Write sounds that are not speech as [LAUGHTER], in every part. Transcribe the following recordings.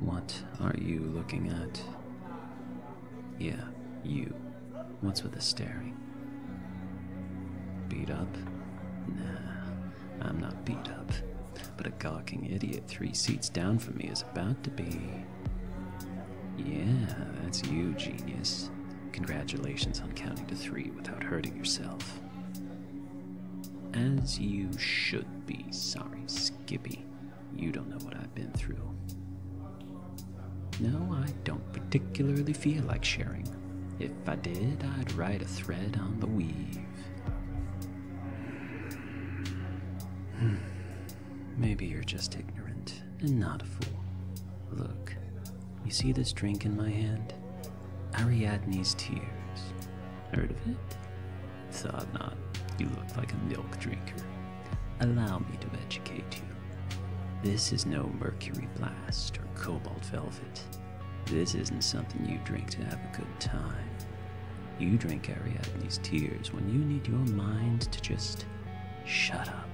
What are you looking at? Yeah, you. What's with the staring? Beat up? Nah, I'm not beat up. But a gawking idiot three seats down from me is about to be. Yeah, that's you, genius. Congratulations on counting to three without hurting yourself. As you should be. Sorry, Skippy. You don't know what I've been through. No, I don't particularly feel like sharing. If I did, I'd write a thread on the weave. Hmm. Maybe you're just ignorant and not a fool. Look, you see this drink in my hand? Ariadne's tears. Heard of it? Thought not. You look like a milk drinker. Allow me to educate you. This is no mercury blast or cobalt velvet. This isn't something you drink to have a good time. You drink Ariadne's tears when you need your mind to just shut up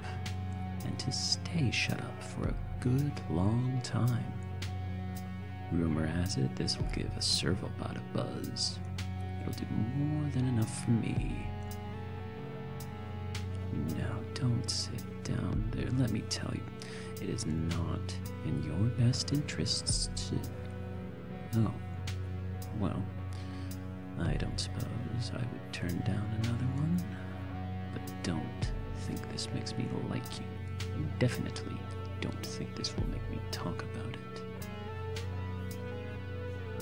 and to stay shut up for a good long time. Rumor has it this will give a servobot a buzz. It'll do more than enough for me. No, don't sit down there. Let me tell you, it is not in your best interests to Oh. Well, I don't suppose I would turn down another one. But don't think this makes me like you. definitely don't think this will make me talk about it.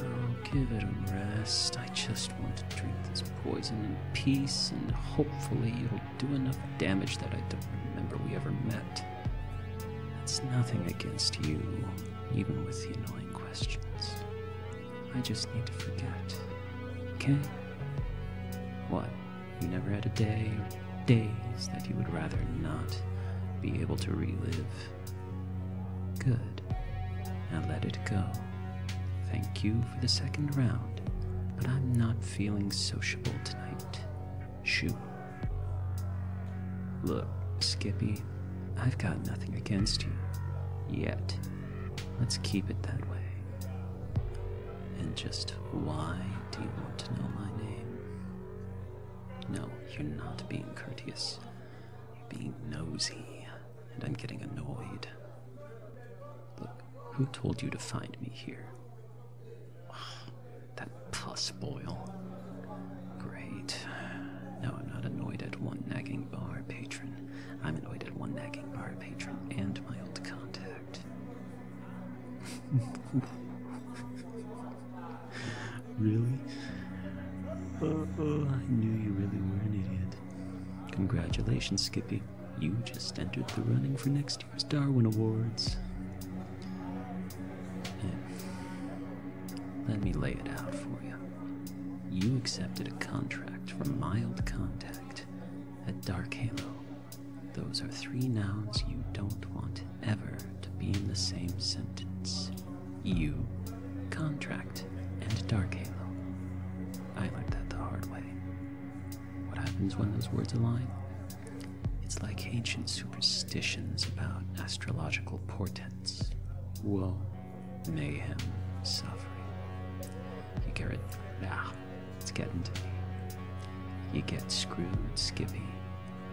I'll give it a rest. I just want to drink this poison in peace, and hopefully it'll do enough damage that I don't remember we ever met. That's nothing against you, even with the annoying questions. I just need to forget. Okay? What? You never had a day or days that you would rather not be able to relive? Good. Now let it go. Thank you for the second round, but I'm not feeling sociable tonight. Shoot. Look, Skippy, I've got nothing against you. Yet. Let's keep it that way. And just why do you want to know my name? No, you're not being courteous. You're being nosy, and I'm getting annoyed. Look, who told you to find me here? That pus boil. Great. No, I'm not annoyed at one nagging bar patron. I'm annoyed at one nagging bar patron and my old contact. [LAUGHS] really? Oh, oh, I knew you really were an idiot. Congratulations, Skippy. You just entered the running for next year's Darwin Awards. Let me lay it out for you. You accepted a contract for mild contact at Dark Halo. Those are three nouns you don't want ever to be in the same sentence. You, contract, and Dark Halo. I learned that the hard way. What happens when those words align? It's like ancient superstitions about astrological portents, woe, mayhem, suffering. You get it? Nah, it's getting to me. You get screwed, Skippy,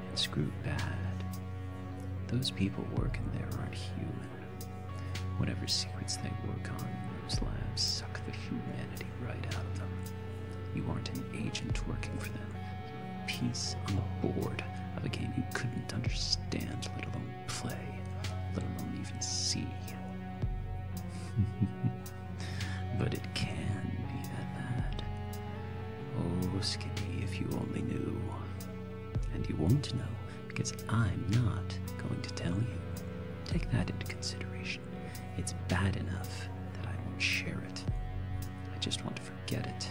and screwed bad. Those people working there aren't human. Whatever secrets they work on in those labs suck the humanity right out of them. You aren't an agent working for them piece on the board of a game you couldn't understand, let alone play, let alone even see. [LAUGHS] but it can be that bad. Oh, Skinny, if you only knew. And you won't know, because I'm not going to tell you. Take that into consideration. It's bad enough that I won't share it. I just want want forget it.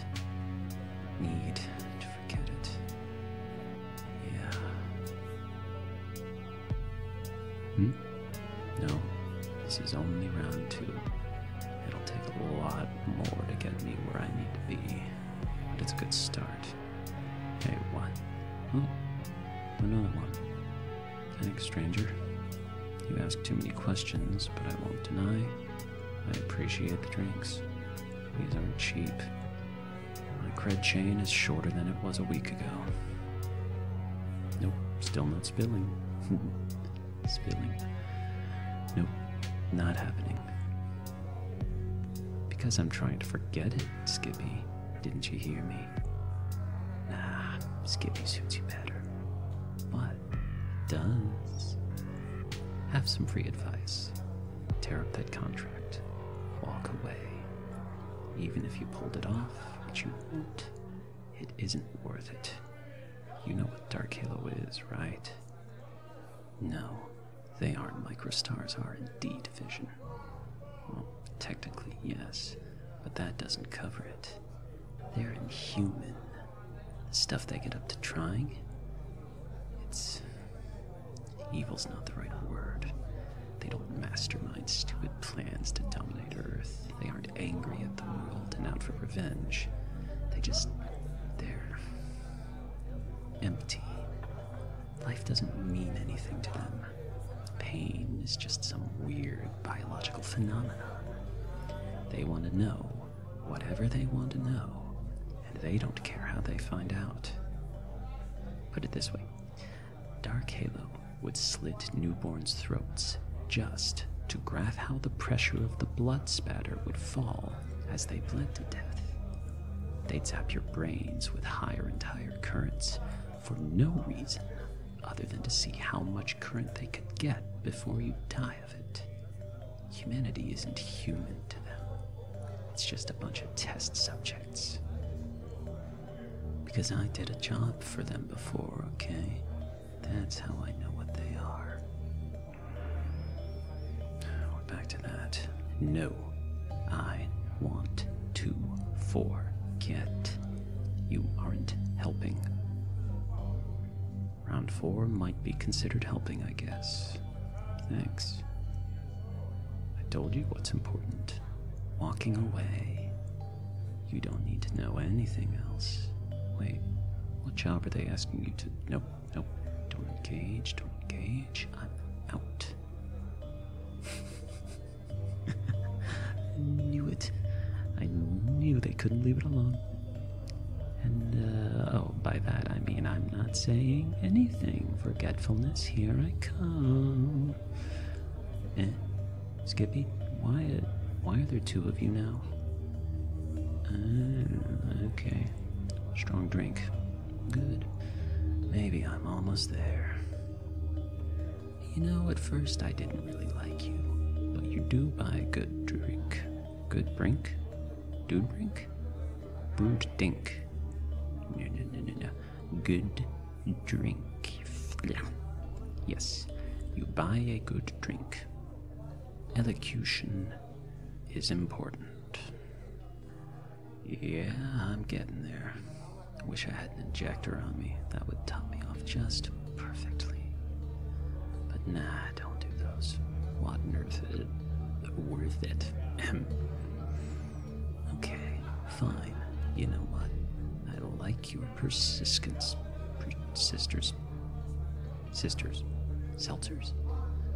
Need to forget it. Yeah. Hmm? No. This is only round two. It'll take a lot more to get me where I need to be. But it's a good start. Hey, what? Oh, another one. Thanks, stranger. You ask too many questions, but I won't deny I appreciate the drinks. These aren't cheap. My cred chain is shorter than it was a week ago. Nope, still not spilling. [LAUGHS] spilling. Nope, not happening. Because I'm trying to forget it, Skippy. Didn't you hear me? Nah, Skippy suits you better. But does have some free advice. Tear up that contract. Walk away. Even if you pulled it off, which you won't, it isn't worth it. You know what Dark Halo is, right? No, they aren't microstars are in D division. Well, technically, yes, but that doesn't cover it. They're inhuman. The stuff they get up to trying. It's. Uh, evil's not the right word. They don't mastermind stupid plans to dominate Earth. They aren't angry at the world and out for revenge. They just. they're. empty. Life doesn't mean anything to them. Pain is just some weird biological phenomenon. They want to know whatever they want to know, and they don't care how they find out. Put it this way Dark Halo would slit newborns' throats just to graph how the pressure of the blood spatter would fall as they bled to death. They'd zap your brains with higher and higher currents for no reason other than to see how much current they could get before you died of it. Humanity isn't human to them, it's just a bunch of test subjects. Because I did a job for them before, okay? That's how I know what they are. are back to that. No, I want to forget. You aren't helping. Round four might be considered helping, I guess. Thanks. I told you what's important. Walking away. You don't need to know anything else. Wait, what job are they asking you to? Nope, nope. Don't engage, don't engage. I'm out. [LAUGHS] I knew it. I knew they couldn't leave it alone. And, uh, oh, by that I mean I'm not saying anything. Forgetfulness, here I come. Eh, Skippy, why, why are there two of you now? Ah, okay. Strong drink. Good. Maybe I'm almost there. You know, at first I didn't really like you, but you do buy good drink. Good drink, Dude drink, Brood dink. No, no, no, no, no. Good drink. Yeah. Yes, you buy a good drink. Elocution is important. Yeah, I'm getting there. Wish I had an injector on me. That would top me off just perfectly. But nah, don't do those. What on earth is it worth it? okay, fine. You know what? I don't like your persistence. Sisters. Sisters. Seltzers.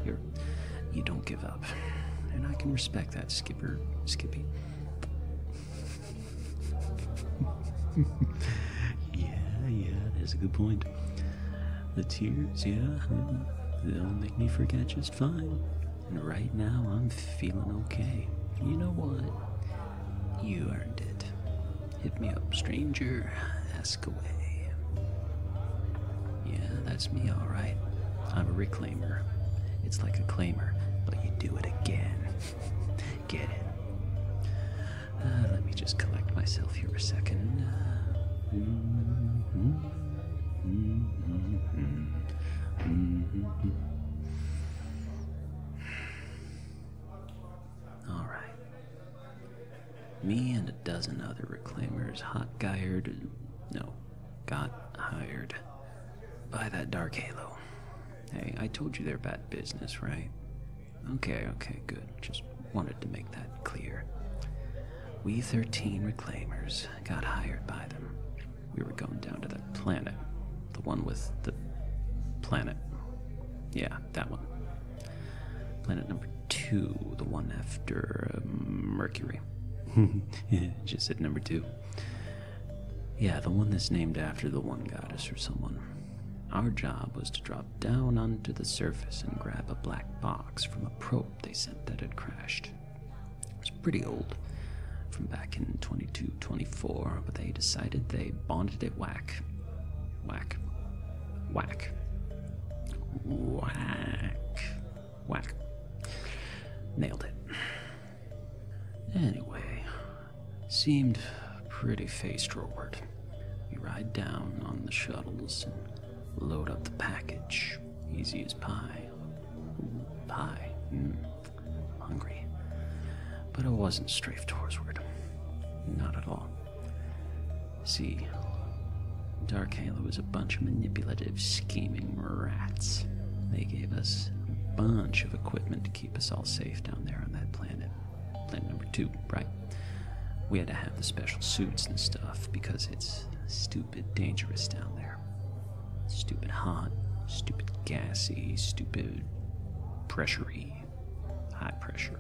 You're. You don't give up. And I can respect that, Skipper. Skippy. [LAUGHS] yeah, yeah, that's a good point. The tears, yeah, they'll make me forget just fine. And right now, I'm feeling okay. You know what? You earned it. Hit me up, stranger. Ask away. Yeah, that's me, alright. I'm a reclaimer. It's like a claimer, but you do it again. [LAUGHS] get it. Uh, let me just collect myself here a 2nd right. Me and a dozen other reclaimers hot guyed, no, got hired by that dark halo. Hey, I told you they're bad business, right? Okay, okay, good. Just wanted to make that clear. We 13 reclaimers got hired by them. We were going down to that planet. The one with the planet. Yeah, that one. Planet number two, the one after um, Mercury. [LAUGHS] Just said number two. Yeah, the one that's named after the one goddess or someone. Our job was to drop down onto the surface and grab a black box from a probe they sent that had crashed. It was pretty old, from back in 2224, but they decided they bonded it whack. Whack. Whack. Whack. Whack. Nailed it. Anyway, seemed pretty faced, forward. We ride down on the shuttles and load up the package. Easy as pie. pie. Hmm. hungry. But it wasn't strafe towardsward. Not at all. See, Dark Halo is a bunch of manipulative, scheming rats. They gave us a bunch of equipment to keep us all safe down there on that planet. Plan number two, right? We had to have the special suits and stuff because it's stupid dangerous down there. Stupid hot, stupid gassy, stupid pressury, high pressure.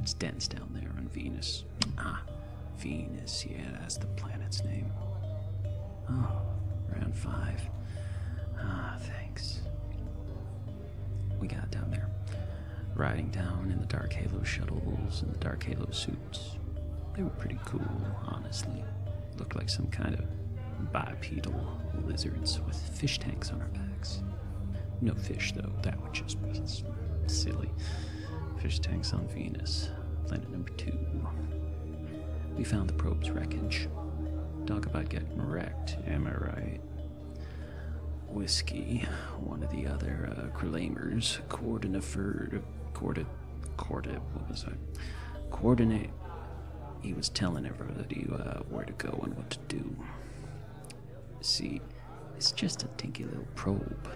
It's dense down there on Venus. Ah, Venus, yeah, that's the planet's name. Oh, round five. Ah, thanks we got down there. Riding down in the Dark Halo shuttles and the Dark Halo suits. They were pretty cool, honestly. Looked like some kind of bipedal lizards with fish tanks on our backs. No fish, though, that would just be silly. Fish tanks on Venus, planet number two. We found the probe's wreckage. Dog about getting wrecked, am I right? Whiskey, one of the other uh, Crelamers, coordinator, coordinate, what was I? Coordinate. He was telling everybody uh, where to go and what to do. See, it's just a dinky little probe,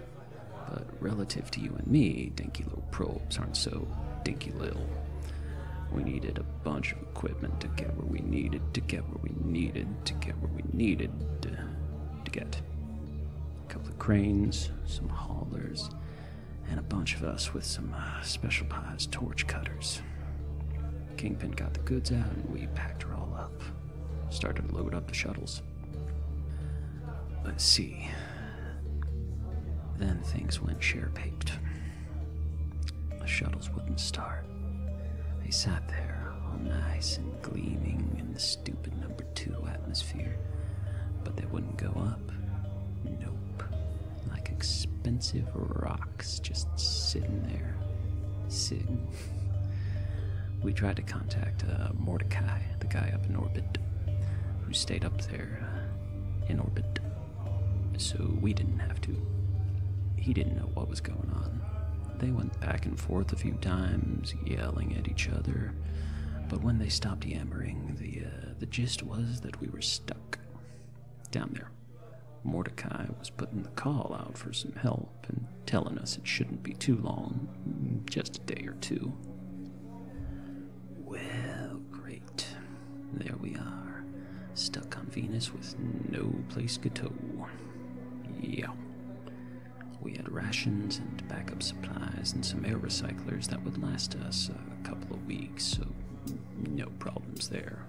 but relative to you and me, dinky little probes aren't so dinky little. We needed a bunch of equipment to get where we needed, to get where we needed, to get where we needed to, get. A couple of cranes, some haulers, and a bunch of us with some uh, special pies, torch cutters. Kingpin got the goods out and we packed her all up. Started to load up the shuttles. Let's see. Then things went sheer paped the shuttles wouldn't start. They sat there, all nice and gleaming in the stupid number two atmosphere, but they wouldn't go up. Nope. Like expensive rocks just sitting there. Sitting. We tried to contact uh, Mordecai, the guy up in orbit, who stayed up there uh, in orbit so we didn't have to. He didn't know what was going on. They went back and forth a few times, yelling at each other. But when they stopped yammering, the uh, the gist was that we were stuck down there. Mordecai was putting the call out for some help and telling us it shouldn't be too long, just a day or two. Well, great. There we are. Stuck on Venus with no place to tow. Yeah. We had rations and backup supplies and some air recyclers that would last us a couple of weeks, so no problems there.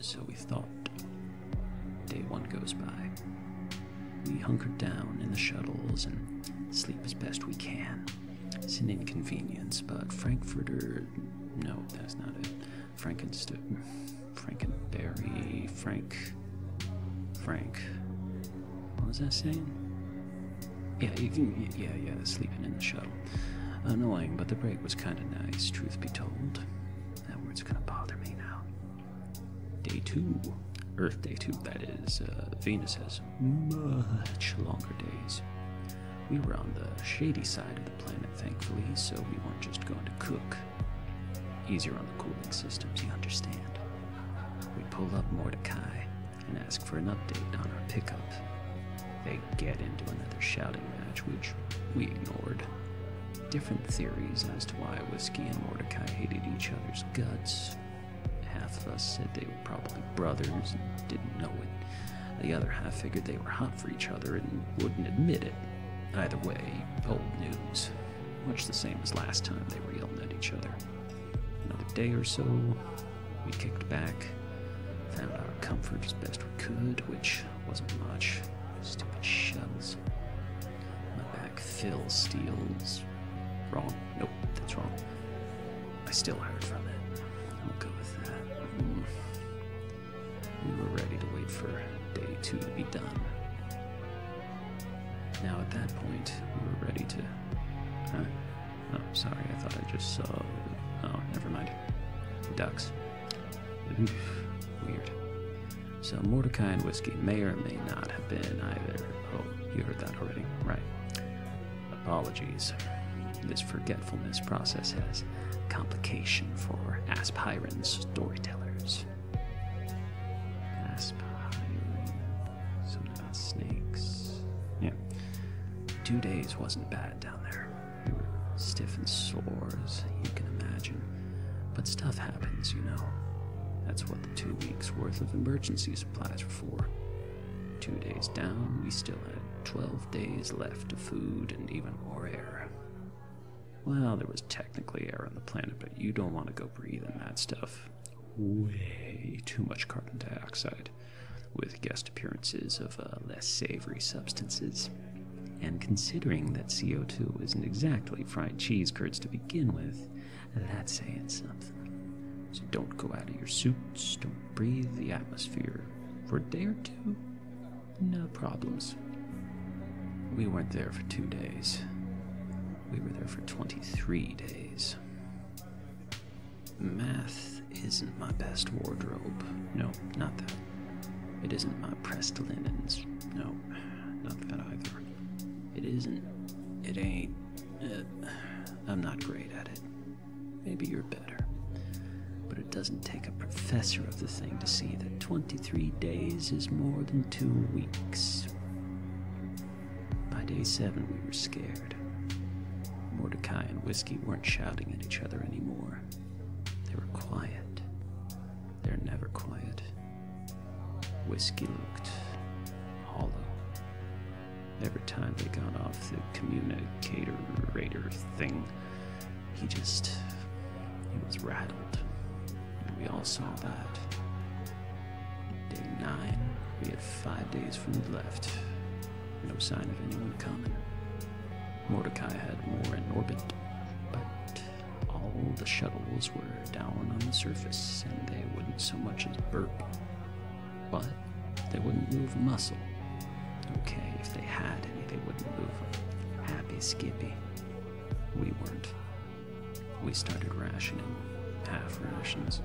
So we thought. Day one goes by. We hunker down in the shuttles and sleep as best we can. It's an inconvenience, but Frankfurters no, that's not it. Frankenst Frankenberry Frank Frank. What was I saying? Yeah, even, yeah, yeah, sleeping in the shuttle. Annoying, but the break was kind of nice, truth be told. That word's gonna bother me now. Day two. Earth Day 2, that is. Uh, Venus has much longer days. We were on the shady side of the planet, thankfully, so we weren't just going to cook. Easier on the cooling systems, you understand. We pull up Mordecai and ask for an update on our pickup. They get into another shouting match, which we ignored. Different theories as to why Whiskey and Mordecai hated each other's guts. Half of us said they were probably brothers and didn't know it. The other half figured they were hot for each other and wouldn't admit it. Either way, old news. Much the same as last time they reeled at each other. Another day or so, we kicked back, found our comfort as best we could, which wasn't much. Stupid shells. My back fills steals. Wrong. Nope, that's wrong. I still heard from it. We'll go with that. Mm. We were ready to wait for day two to be done. Now at that point, we were ready to. Huh? Oh, sorry, I thought I just saw. Oh, never mind. Ducks. weird. So Mordecai and Whiskey may or may not have been either. Oh, you heard that already, right? Apologies. This forgetfulness process has complication for aspirin storytellers. Aspirin. Something about snakes. Yeah. Two days wasn't bad down there. We were stiff and sore, as you can imagine. But stuff happens, you know. That's what the two weeks' worth of emergency supplies were for. Two days down, we still had twelve days left of food and even more air. Well, there was technically air on the planet, but you don't want to go breathe in that stuff. Way too much carbon dioxide, with guest appearances of uh, less savory substances. And considering that CO2 isn't exactly fried cheese curds to begin with, that's saying something. So don't go out of your soup do breathe the atmosphere for a day or two, no problems. We weren't there for two days, we were there for 23 days. Math isn't my best wardrobe. No, not that. It isn't my pressed linens. No, not that either. It isn't. It ain't. Uh, I'm not great at it. Maybe you're better. But it doesn't take a professor of the thing to see that 23 days is more than two weeks. By day seven, we were scared. Mordecai and Whiskey weren't shouting at each other anymore. They were quiet. They're never quiet. Whiskey looked hollow Every time they got off the communicator thing, he just. he was rattled. we all saw that. Day nine, we had five days from the left. No sign of anyone coming. Mordecai had more in orbit, but all the shuttles were down on the surface and they wouldn't so much as burp. But they wouldn't move a muscle. Okay, if they had any, they wouldn't move Happy Skippy. We weren't. We started rationing, half rations.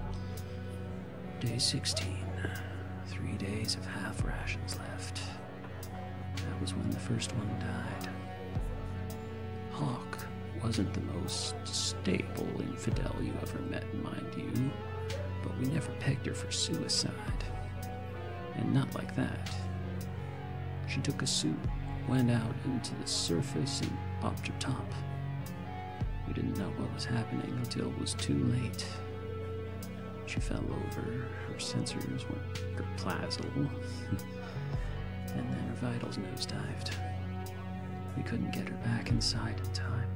Day 16. Three days of half rations left. That was when the first one died. Hawk wasn't the most stable infidel you ever met, mind you, but we never pegged her for suicide. And not like that. She took a suit, went out into the surface, and popped her top. We didn't know what was happening until it was too late. She fell over, her sensors went gerplazzle, [LAUGHS] and then her vitals nosedived. We couldn't get her back inside in time.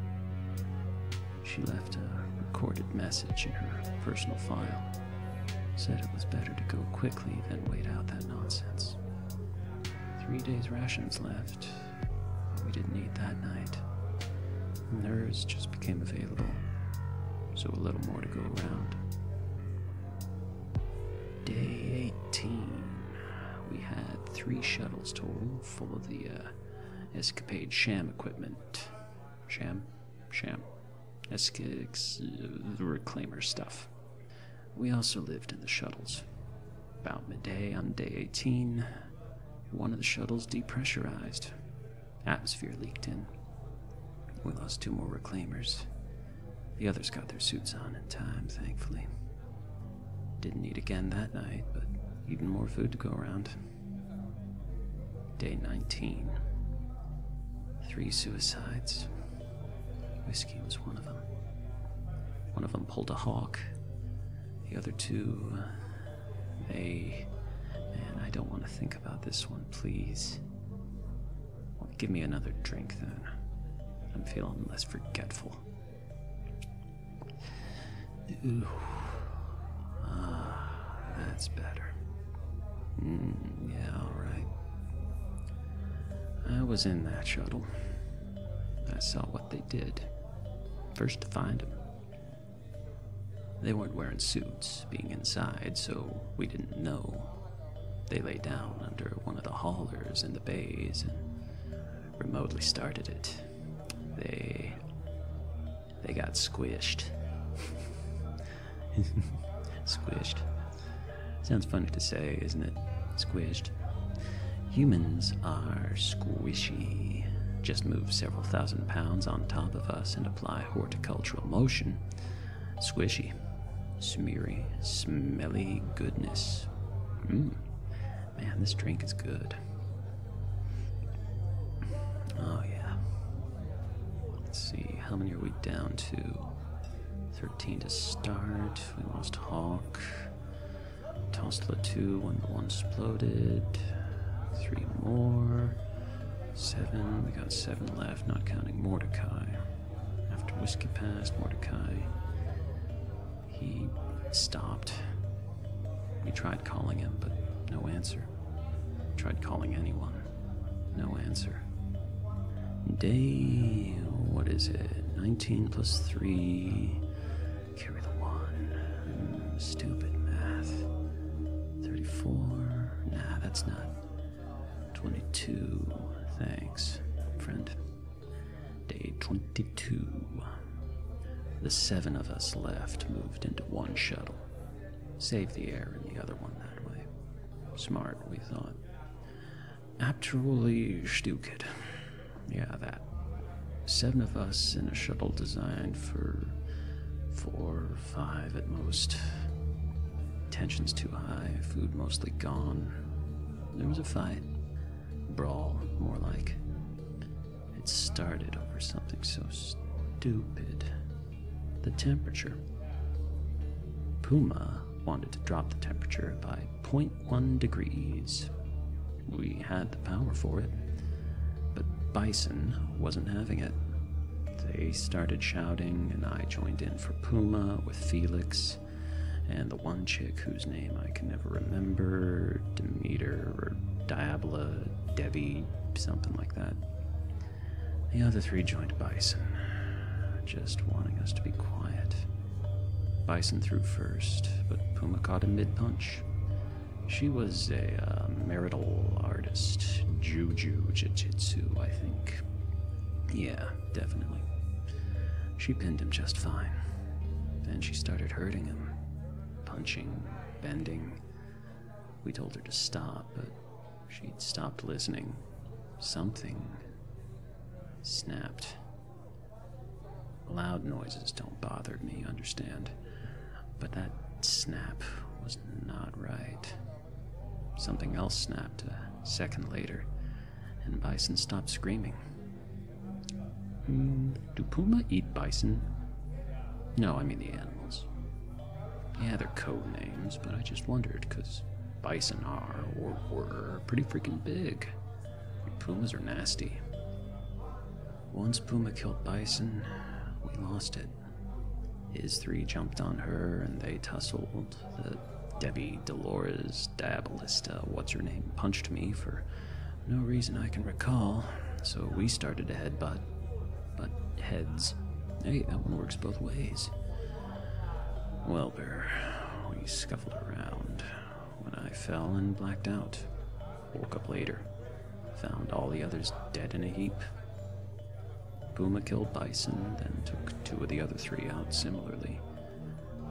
She left a recorded message in her personal file. Said it was better to go quickly than wait out that nonsense. Three days' rations left. We didn't eat that night. And hers just became available, so a little more to go around. Day 18. We had three shuttles total full of the uh, Escapade sham equipment. Sham? Sham. Escapes, the reclaimer stuff. We also lived in the shuttles. About midday on day 18, one of the shuttles depressurized. Atmosphere leaked in. We lost two more reclaimers. The others got their suits on in time, thankfully. Didn't eat again that night, but even more food to go around. Day 19. Three suicides. Whiskey was one of them. One of them pulled a hawk. The other two, uh, they. Man, I don't want to think about this one, please. Well, give me another drink then. I'm feeling less forgetful. Ooh. Ah, that's better. Hmm, yeah, alright. I was in that shuttle. I saw what they did. First to find them. They weren't wearing suits, being inside, so we didn't know. They lay down under one of the haulers in the bays and remotely started it. They they got squished. [LAUGHS] squished. Sounds funny to say, isn't it? Squished. Humans are squishy. Just move several thousand pounds on top of us and apply horticultural motion. Squishy. Smeary. Smelly goodness. Hmm. Man, this drink is good. Oh, yeah. Let's see, how many are we down to? 13 to start. We lost Hawk. Tossed two, one one exploded. Three more. Seven. We got seven left, not counting Mordecai. After Whiskey passed, Mordecai. He stopped. We tried calling him, but no answer. Tried calling anyone. No answer. Day. What is it? 19 plus 3. Carry the 1. Stupid math. 34. Nah, that's not. 22. Thanks, friend. Day 22. The seven of us left moved into one shuttle. Save the air in the other one that way. Smart, we thought. Actually, stupid. Yeah, that. Seven of us in a shuttle designed for four, or five at most. Tensions too high, food mostly gone. There was a fight. Brawl, more like. It started over something so stupid. The temperature. Puma wanted to drop the temperature by 0.1 degrees. We had the power for it, but Bison wasn't having it. They started shouting, and I joined in for Puma with Felix, and the one chick whose name I can never remember Demeter or Diabla, Debbie, something like that. The other three joined Bison, just wanting us to be quiet. Bison threw first, but Puma caught him mid punch. She was a uh, marital artist, Juju Jiu Jitsu, I think. Yeah, definitely. She pinned him just fine. Then she started hurting him, punching, bending. We told her to stop, but she'd stopped listening. Something snapped. Loud noises don't bother me, understand? But that snap was not right. Something else snapped a second later, and Bison stopped screaming. Hmm, do puma eat bison? No, I mean the animals. Yeah, they're code names, but I just wondered because bison are or were pretty freaking big. pumas are nasty. Once Puma killed Bison, we lost it. His three jumped on her and they tussled. The Debbie Dolores Diabolista, what's her name, punched me for no reason I can recall, so we started to headbutt. But heads. Hey, that one works both ways. Well, Bear, we scuffled around. When I fell and blacked out, woke up later, found all the others dead in a heap. Puma killed Bison, then took two of the other three out similarly.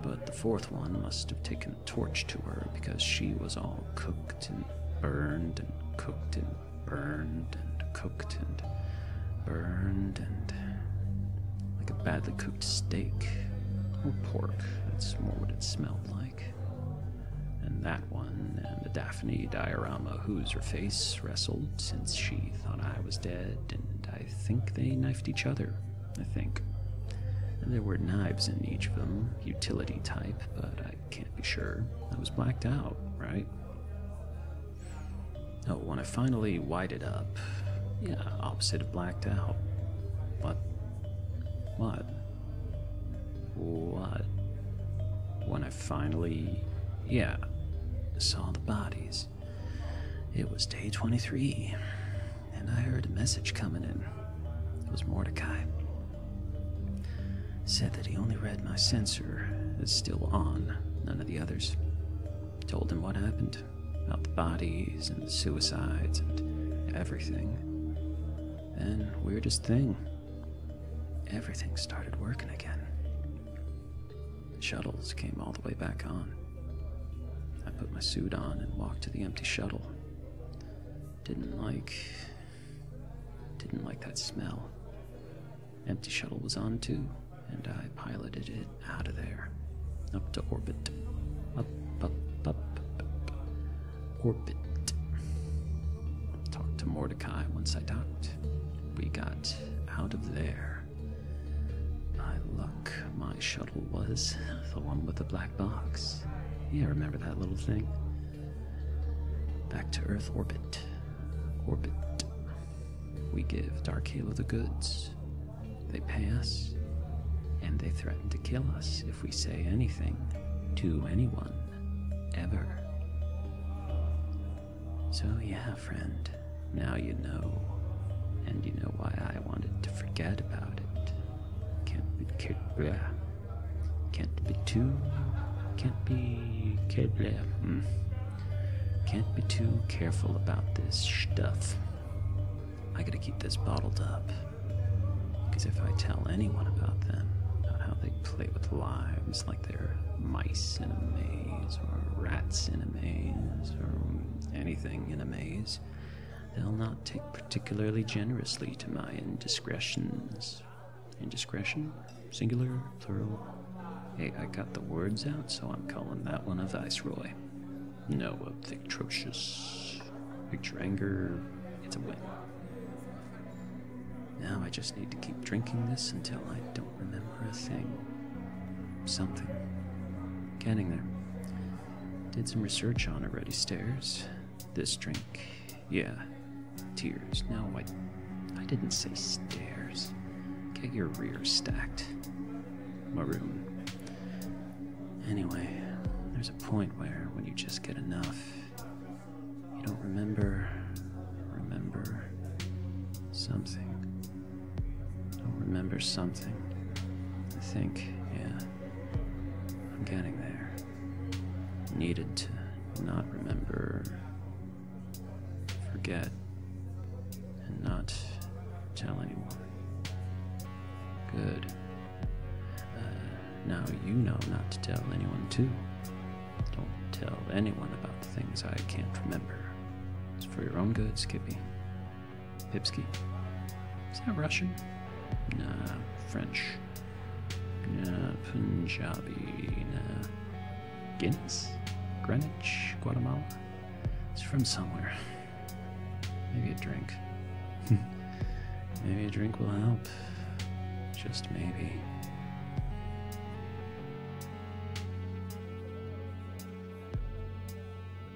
But the fourth one must have taken a torch to her because she was all cooked and burned and cooked and burned and cooked and burned and like a badly cooked steak or oh, pork. That's more what it smelled like. And that one and the Daphne diorama whose her face wrestled since she thought I was dead, and I think they knifed each other I think. And there were knives in each of them, utility type, but I can't be sure. I was blacked out, right? Oh, when I finally white it up, yeah, opposite of blacked out. What? What? What? When I finally, yeah, saw the bodies. It was day 23 and I heard a message coming in. It was Mordecai. Said that he only read my sensor. It's still on, none of the others. Told him what happened about the bodies and the suicides and everything. Then, weirdest thing, everything started working again. The shuttles came all the way back on. I put my suit on and walked to the empty shuttle. Didn't like. didn't like that smell. Empty shuttle was on too, and I piloted it out of there. Up to orbit. Up, up, up, up. Orbit. Talked to Mordecai once I docked. We got out of there. I luck my shuttle was the one with the black box. Yeah, remember that little thing? Back to Earth orbit. Orbit. We give Dark Halo the goods. They pay us, and they threaten to kill us if we say anything to anyone, ever. So, yeah, friend, now you know. And you know why I I wanted to forget about it. Can't be kid Can't be too. Can't be kid hmm. Can't be too careful about this stuff. I gotta keep this bottled up. Because if I tell anyone about them, about how they play with lives like they're mice in a maze, or rats in a maze, or anything in a maze, they'll not take particularly generously to my indiscretions. Indiscretion? Singular? Plural? Hey, I got the words out, so I'm calling that one a viceroy. No, a victrocious. Picture anger, it's a win. Now I just need to keep drinking this until I don't remember a thing. Something. Getting there. Did some research on already stairs. This drink. Yeah. Tears. No, I I didn't say stairs. Get your rear stacked. Maroon. Anyway, there's a point where when you just get enough, you don't remember remember something. I'll remember something. I think, yeah. I'm getting there. Needed to not remember, forget, and not tell anyone. Good. Uh, now you know not to tell anyone, too. Don't tell anyone about the things I can't remember. It's for your own good, Skippy. Pipski. Is that Russian? Nah, French. Nah, Punjabi. Nah. Guinness? Greenwich? Guatemala? It's from somewhere. Maybe a drink. [LAUGHS] maybe a drink will help. Just maybe.